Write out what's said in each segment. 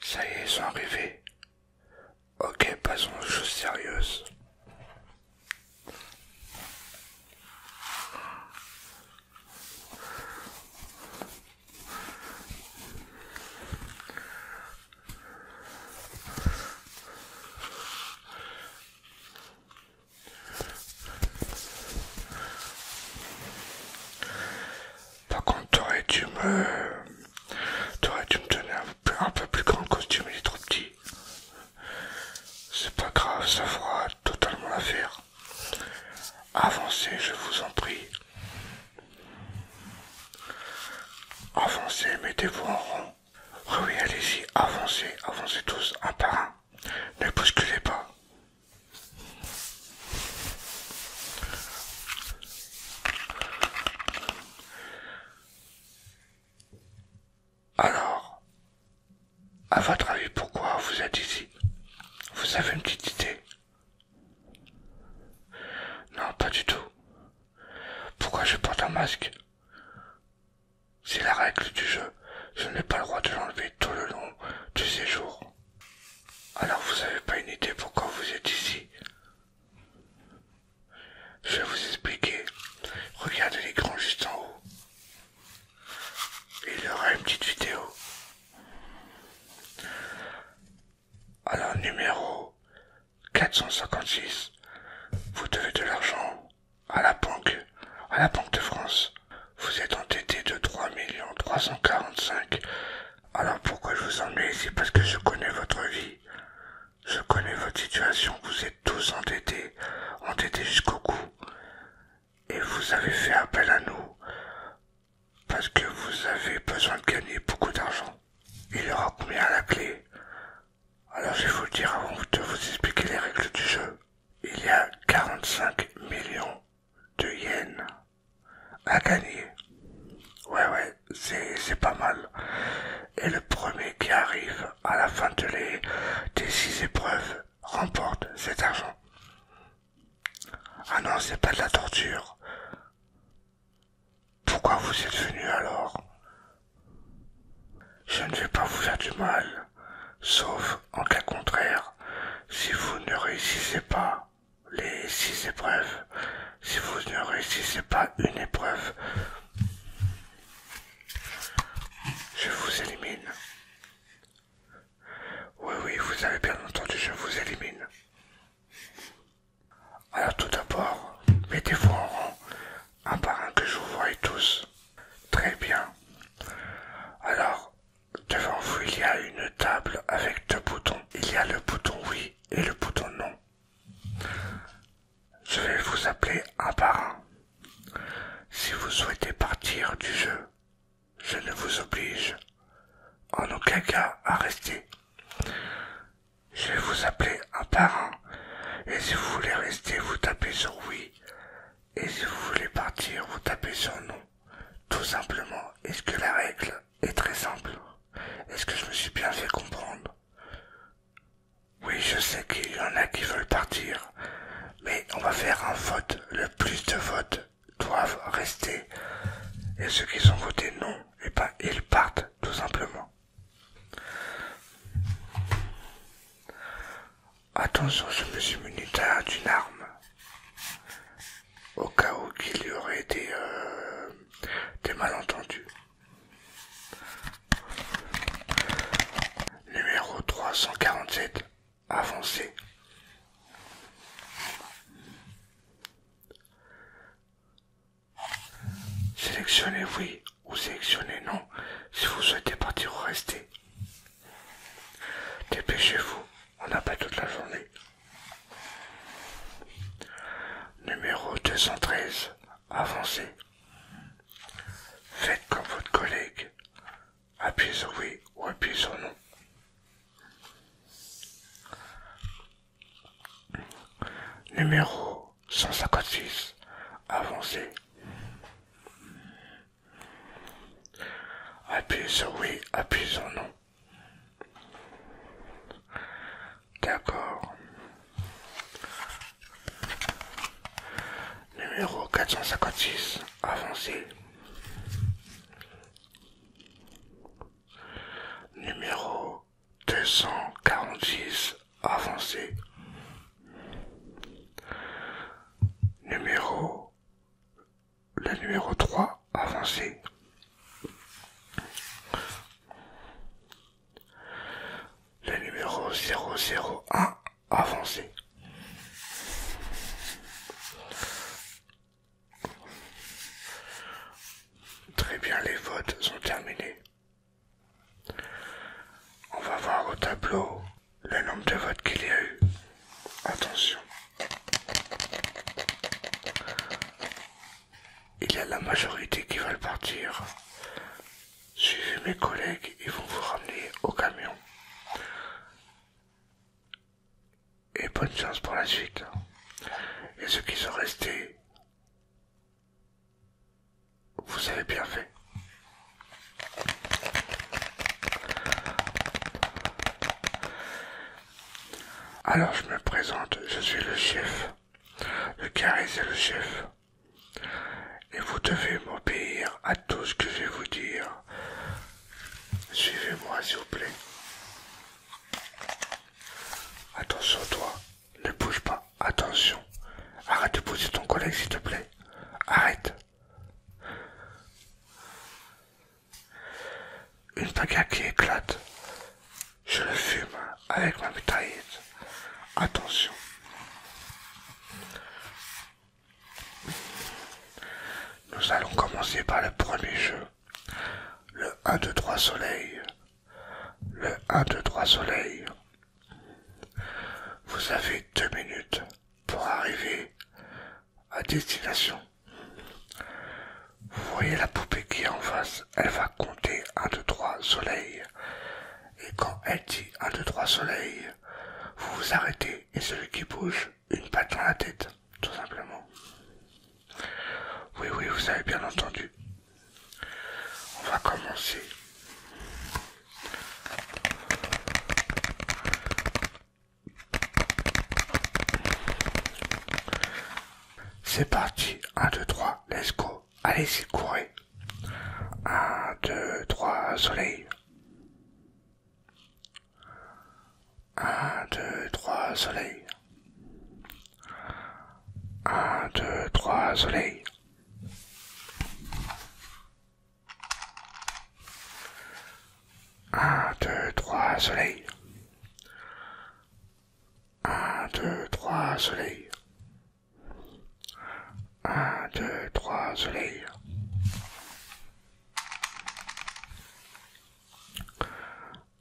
Ça y est, ils sont arrivés. Ok, passons aux choses sérieuses. Par contre, t'aurais dû me. T'aurais dû me donner un peu, plus grand costume, il est trop petit. C'est pas grave, ça fera totalement l'affaire. Avancez, je vous en prie. Avancez, mettez-vous en rond. oui, allez-y, avancez, avancez tous, un par un. Ne bousculez pas. Alors, à votre avis, pourquoi vous êtes ici Vous avez une petite idée Non, pas du tout. Pourquoi je porte un masque C'est la règle du jeu. Je n'ai pas le droit de l'enlever tout le long du séjour. Alors vous n'avez pas une idée pourquoi vous êtes ici Je vais vous expliquer. Regardez l'écran juste en haut. Il y aura une petite vidéo. Alors numéro 456, vous devez de l'argent à la banque, à la Banque de France. Vous êtes endetté de 3 345 alors pourquoi je vous emmène ici Parce que je connais votre vie. Je connais votre situation. Vous êtes tous endettés, endettés jusqu'au cou. Et vous avez fait appel à nous parce que vous avez besoin de gagner beaucoup d'argent. Il y aura combien à la clé Alors je vais vous dire avant de vous expliquer les règles du jeu. Il y a 45 millions de yens à gagner. Ouais, ouais, c'est pas mal. Et le premier qui arrive à la fin de les, des six épreuves remporte cet argent. Ah non, c'est pas de la torture. Pourquoi vous êtes venu alors Je ne vais pas vous faire du mal, sauf en cas contraire, si vous ne réussissez pas les six épreuves. Si vous ne réussissez pas une épreuve, je vous élimine. Oui, oui, vous avez bien entendu, je vous élimine. Alors tout d'abord, mettez-vous en rang, un par un que je vous voie tous. Très bien. Alors, devant vous, il y a une table avec deux boutons. Il y a le bouton oui et le bouton non. Je vais vous appeler un par Si vous souhaitez partir du jeu, je ne vous oblige en aucun cas à rester. Je vais vous appeler un par et si vous voulez rester, vous tapez sur oui, et si vous voulez partir, vous tapez sur non. Tout simplement, est-ce que la règle est très simple. Est-ce que je me suis bien fait comprendre Oui, je sais qu'il y en a qui veulent partir, mais on va faire un vote. Le plus de votes doivent rester. Et ceux qui ont voté non, et eh pas, ben, ils partent tout simplement. Attention, je me suis muni d'une arme au cas où qu'il y aurait des, euh, malentendus. Numéro 347. Avancez. Sélectionnez oui ou sélectionnez non si vous souhaitez partir ou rester. Dépêchez-vous, on n'a pas toute la journée. Numéro 213. Avancez. Faites comme votre collègue. Appuyez sur oui ou appuyez sur non. Numéro 156. Avancez. Appuyez sur oui, appuyez sur non. D'accord. Numéro 456, avancé. Numéro quarante-six avancé. Numéro le numéro 3 avancé. Le numéro 001 avancé. Très bien, les votes sont terminés. On va voir au tableau le nombre de votes qu'il y a eu. Attention. Il y a la majorité qui veulent partir. Suivez mes collègues, ils vont vous ramener au camion. Et bonne chance pour la suite. Et ceux qui sont restés, vous avez bien fait. Alors je me présente, je suis le chef. Le carré c'est le chef. Et vous devez m'obéir à tout ce que je vais vous dire. Suivez-moi, s'il vous plaît. Attention, toi. Ne bouge pas. Attention. Arrête de pousser ton collègue, s'il te plaît. Arrête. Une baguette qui éclate. Je le fume avec ma bataille. Attention. Nous allons commencer par le premier jeu. Le 1, 2, 3 soleil. Le 1, 2, 3 soleil. Vous avez deux minutes pour arriver à destination. Vous voyez la poupée qui est en face, elle va compter 1, 2, 3 soleil. Et quand elle dit 1, 2, 3 soleil, vous vous arrêtez et celui qui bouge, une patte dans la tête, tout simplement. Oui, oui, vous avez bien entendu. On va commencer. C'est parti. 1, 2, 3, let's go. Allez-y, courez. 1, 2, 3, soleil. 1, 2, 3, soleil. 1, 2, 3, soleil. 1, 2, 3, soleil. 1, 2, 3, soleil. 1, 2, 3, soleil.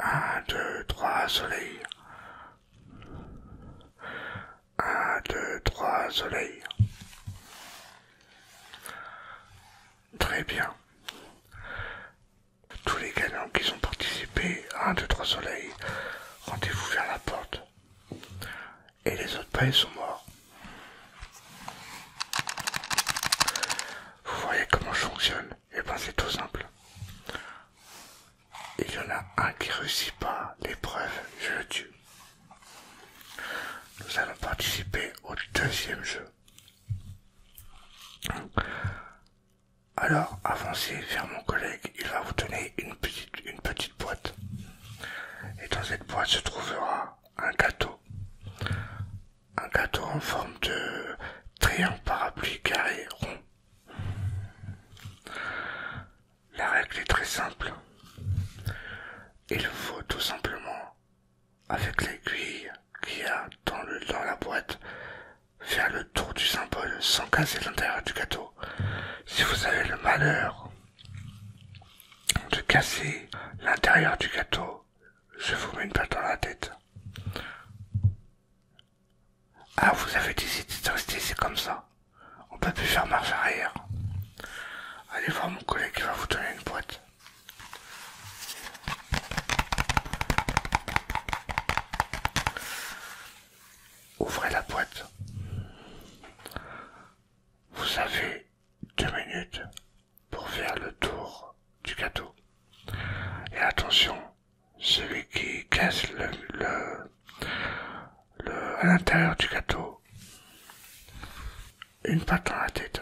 1, 2, 3, soleil. 1, 2, 3, soleil. Très bien. Tous les gagnants qui ont participé 1, un, 3, trois soleils, rendez-vous vers la porte. Et les autres pays sont morts. Vous voyez comment je fonctionne Et eh bien c'est tout simple. Il y en a un qui réussit pas l'épreuve, je le tue. Nous allons participer au deuxième jeu. Alors avancez vers mon collègue, il va vous donner une petite, boîte. Et dans cette boîte se trouvera un gâteau. Un gâteau en forme de triangle parapluie carré rond. La règle est très simple. Il faut tout simplement, avec l'aiguille qu'il y a dans la boîte, faire le tour du symbole sans casser l'intérieur du gâteau. Si vous avez le malheur de casser l'intérieur du gâteau, je vous mets une balle dans la tête. Ah, vous avez décidé de rester, c'est comme ça. On peut plus faire marche arrière. Allez voir mon collègue qui va vous donner une boîte. Ouvrez la boîte. Vous avez deux minutes pour faire le tour du gâteau. Et attention, celui qui casse à l'intérieur du gâteau, une patte dans la tête.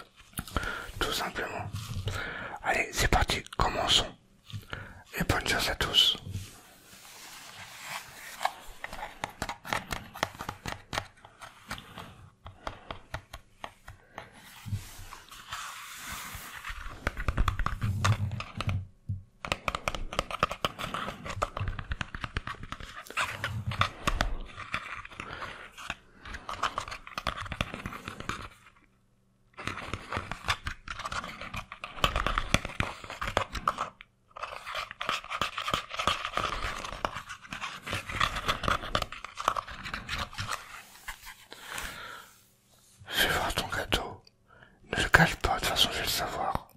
Tout simplement. Allez, c'est parti, commençons et bonne chance à tous. Je vais voir ton gâteau. Ne le cache pas, de toute façon je vais le savoir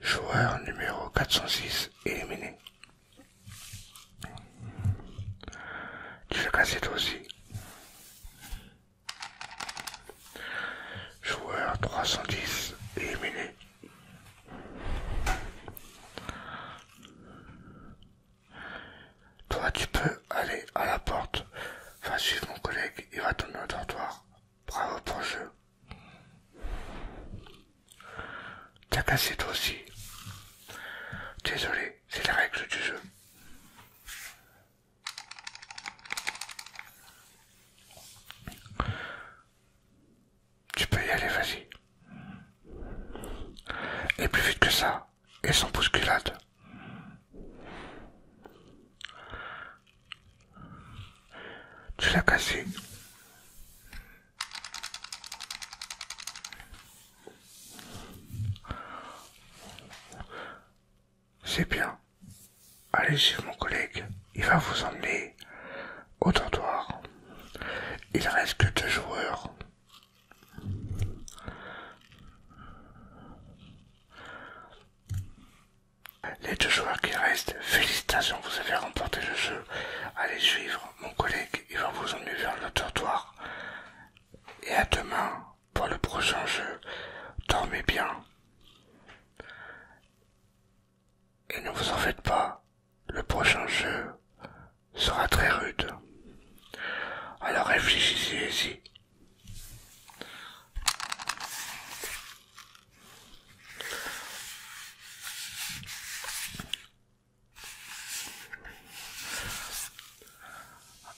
joueur numéro 406 éliminé. Tu casser toi aussi. Joueur 310 éliminé. Toi, tu peux aller à la porte. Va suivre mon collègue, il va tourner au dortoir. Bravo pour le jeu. T'as cassé toi aussi. Désolé, c'est la règle du jeu. Tu peux y aller, vas-y. Et plus vite que ça, et sans bousculade. Tu l'as cassé. C'est bien. Allez suivre mon collègue. Il va vous emmener au trottoir. Il reste que deux joueurs. Les deux joueurs qui restent, félicitations, vous avez remporté le jeu. Allez suivre mon collègue, il va vous emmener vers le trottoir. Et à demain pour le prochain jeu. Dormez bien. Et ne vous en faites pas, le prochain jeu sera très rude. Alors réfléchissez-y.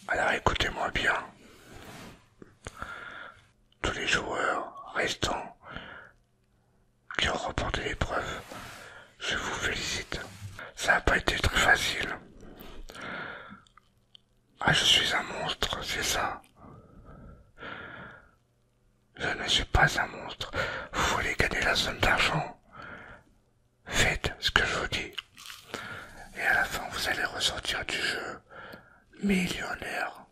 Alors écoutez-moi bien. Tous les joueurs restants qui ont remporté l'épreuve, je vous félicite. Ça n'a pas été très facile. Ah, je suis un monstre, c'est ça. Je ne suis pas un monstre. Vous voulez gagner la somme d'argent Faites ce que je vous dis. Et à la fin, vous allez ressortir du jeu millionnaire.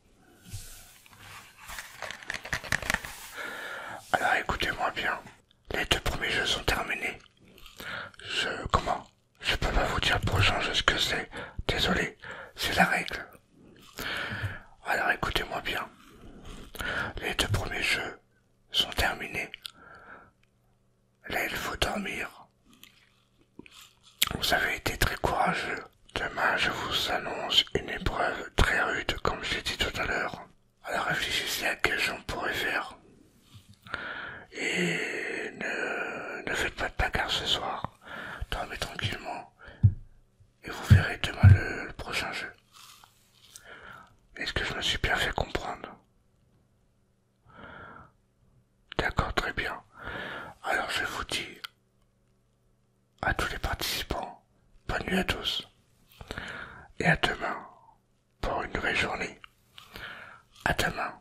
Alors écoutez-moi bien. Les deux premiers jeux sont terminés. Je... comment Je peux pas vous dire prochain ce que c'est. Désolé, c'est la règle. Alors écoutez-moi bien. Les deux premiers jeux sont terminés. Là, il faut dormir. Vous avez été très courageux. Demain, je vous annonce une épreuve très rude, comme j'ai dit tout à l'heure. Alors réfléchissez à quel que on pourrait faire. Et ne, ne faites pas de placard ce soir. Dormez tranquillement et vous verrez demain le, prochain jeu. Est-ce que je me suis bien fait comprendre D'accord, très bien. Alors je vous dis à tous les participants, bonne nuit à tous. Et à demain pour une nouvelle journée. À demain.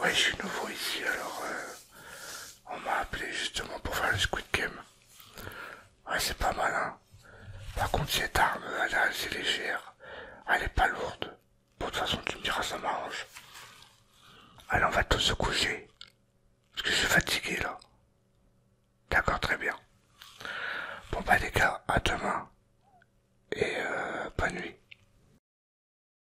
Ouais, je suis nouveau ici, alors euh, on m'a appelé justement pour faire le Squid Game. Ouais, c'est pas mal, hein. Par contre, cette arme, elle est assez légère. Elle est pas lourde. Bon, de toute façon, tu me diras, ça m'arrange. Allez, on va tous se coucher. Parce que je suis fatigué, là. D'accord, très bien. Bon, pas bah, les gars, à demain. Et euh, bonne nuit.